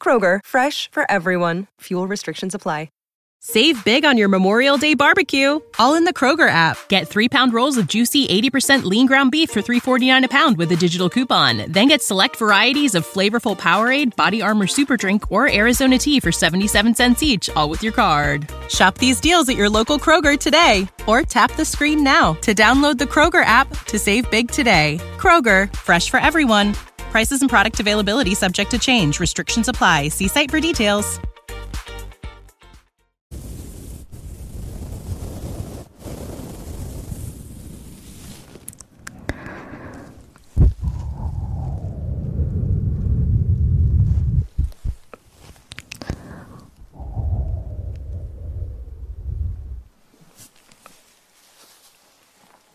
Kroger, fresh for everyone. Fuel restrictions apply. Save big on your Memorial Day barbecue, all in the Kroger app. Get three pound rolls of juicy 80% lean ground beef for 3.49 a pound with a digital coupon. Then get select varieties of flavorful Powerade, Body Armor Super Drink, or Arizona tea for 77 cents each, all with your card. Shop these deals at your local Kroger today, or tap the screen now to download the Kroger app to save big today. Kroger, fresh for everyone. Prices and product availability subject to change. Restrictions apply. See site for details.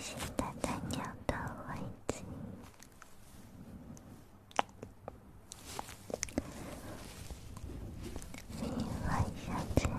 谢谢大家养的环境。晚安，最好。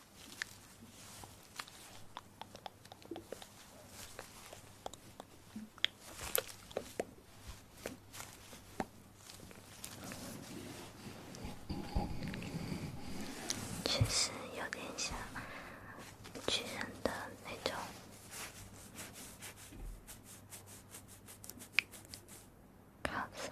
确实有点像巨人的那种卡夫。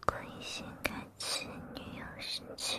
可以先开启女友视角。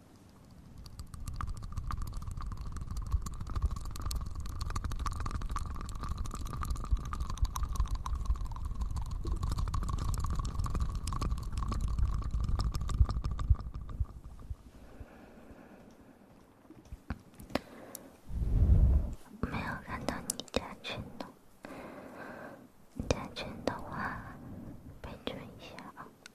没有看到你加群呢，加群的话备注一下啊。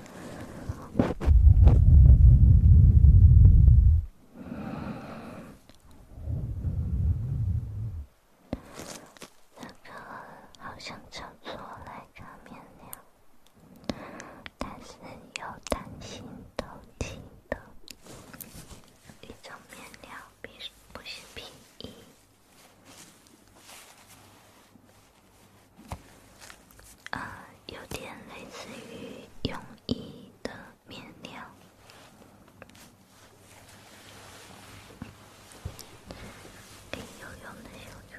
那个好像叫做莱卡面料，但是有弹性透气的，一种面料，不是不是皮衣。啊，有点类似于泳衣的面料，游泳的小船。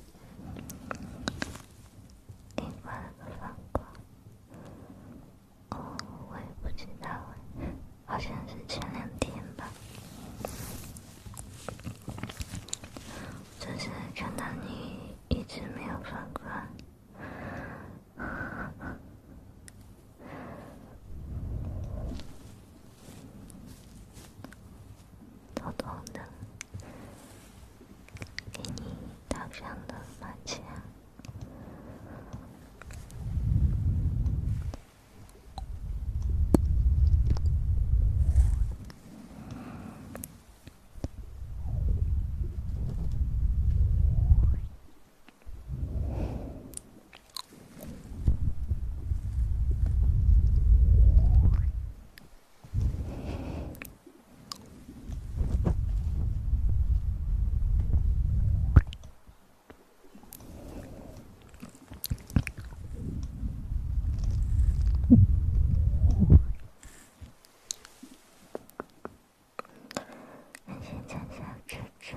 你发了个反光，哦，我也不知道哎，好像是前两天吧。就是看到你一直没有反光。偷偷的给你打上了马甲。安心，小小猪猪。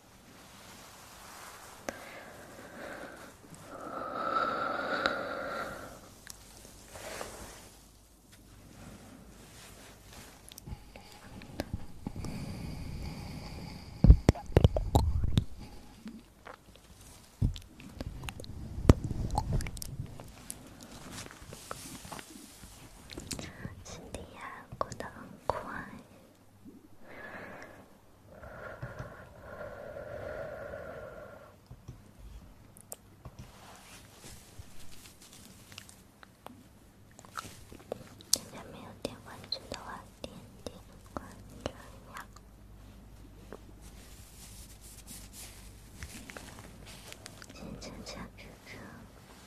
时间过得很快。大家没有点关注的话，点点关注呀！亲亲亲亲亲。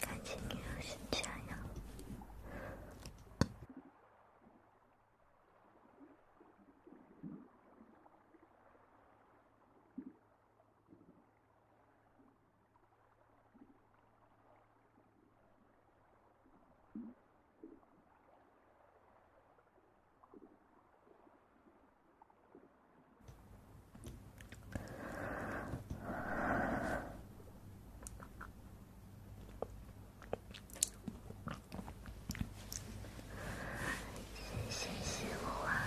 感谢你的分享呀。谢谢喜欢。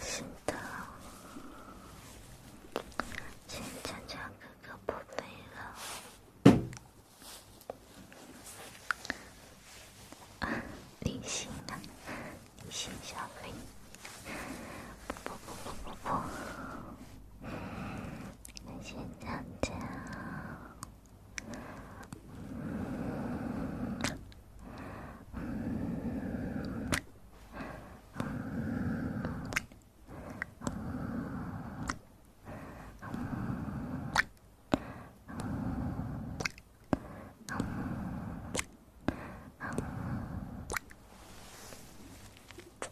真的，真悄悄哥哥不背了，隐形的，隐形小黑，不不不不不不。先讲讲。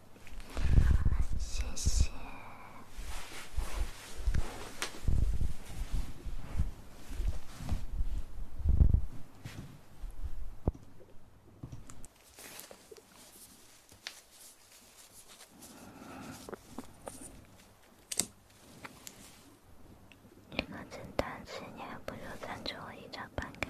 好谢谢。单题，你还不如赞助我一张办卡。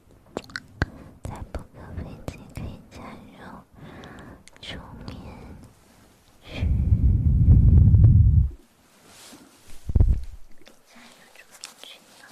在布克飞机可以加入竹棉群，你加入竹棉群了。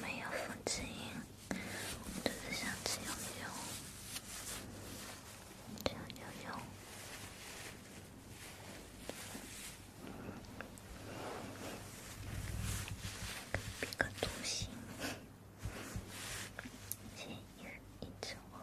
没有风琴。我们都是想吃牛牛，吃牛牛，别搞东西，加油，一直往。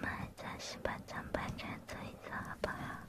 妈，暂时把长辈看作儿子吧。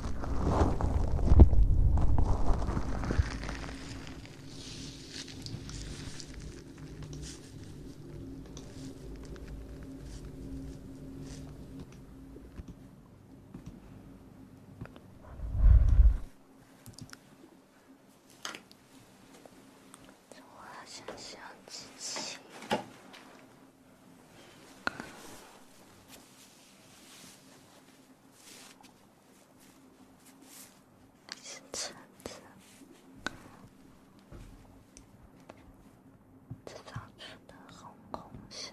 我好像想起。是车子制造出的轰轰声，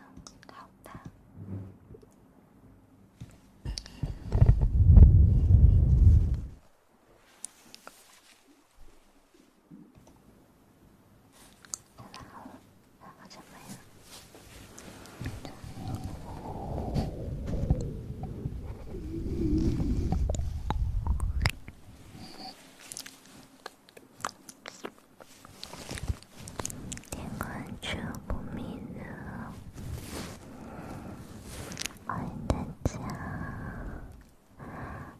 好吧。点关注不迷路，欢迎大家，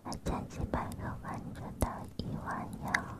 再加几百个关注到一万哟！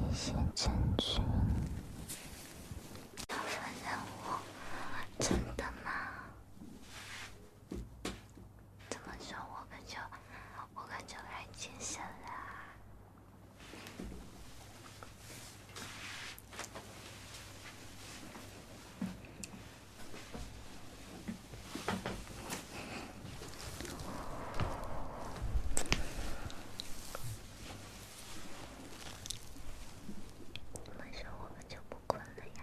你先战群，挑战任务，真的吗？怎么说，我可就我可就来精神了。这么说，我就不困了呀。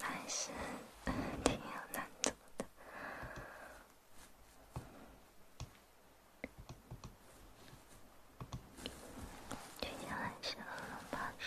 还是挺有难度的，接下来是卧龙炮手。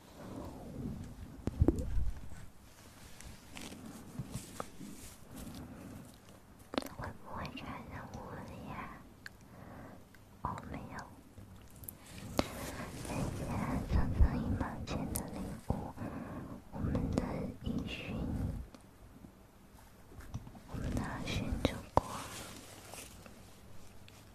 会不会产生误会呀？哦，没有。大家赠送一毛钱的礼物，我们的音讯，我们的宣传果。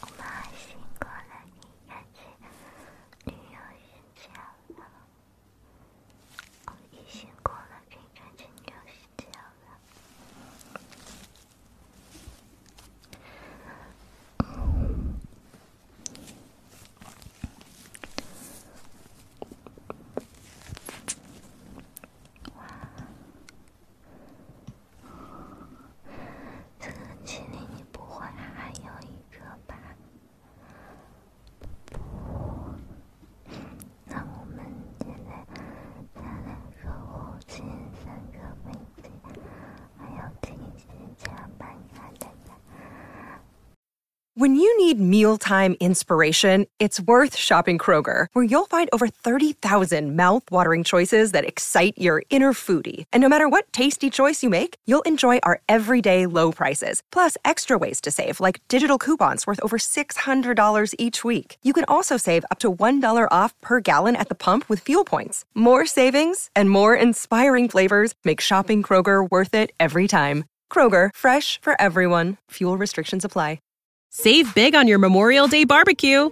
我妈辛苦了，你赶紧旅游睡觉了。我也辛苦了，你赶紧旅游睡觉了。哇。When you need mealtime inspiration, it's worth shopping Kroger, where you'll find over 30,000 mouthwatering choices that excite your inner foodie, and no matter what tasty choice you make, you'll enjoy our everyday low prices, plus extra ways to save, like digital coupons worth over $600 each week. You can also save up to $1 off per gallon at the pump with fuel points. More savings and more inspiring flavors make shopping Kroger worth it every time. Kroger, fresh for everyone. Fuel restrictions apply. Save big on your Memorial Day barbecue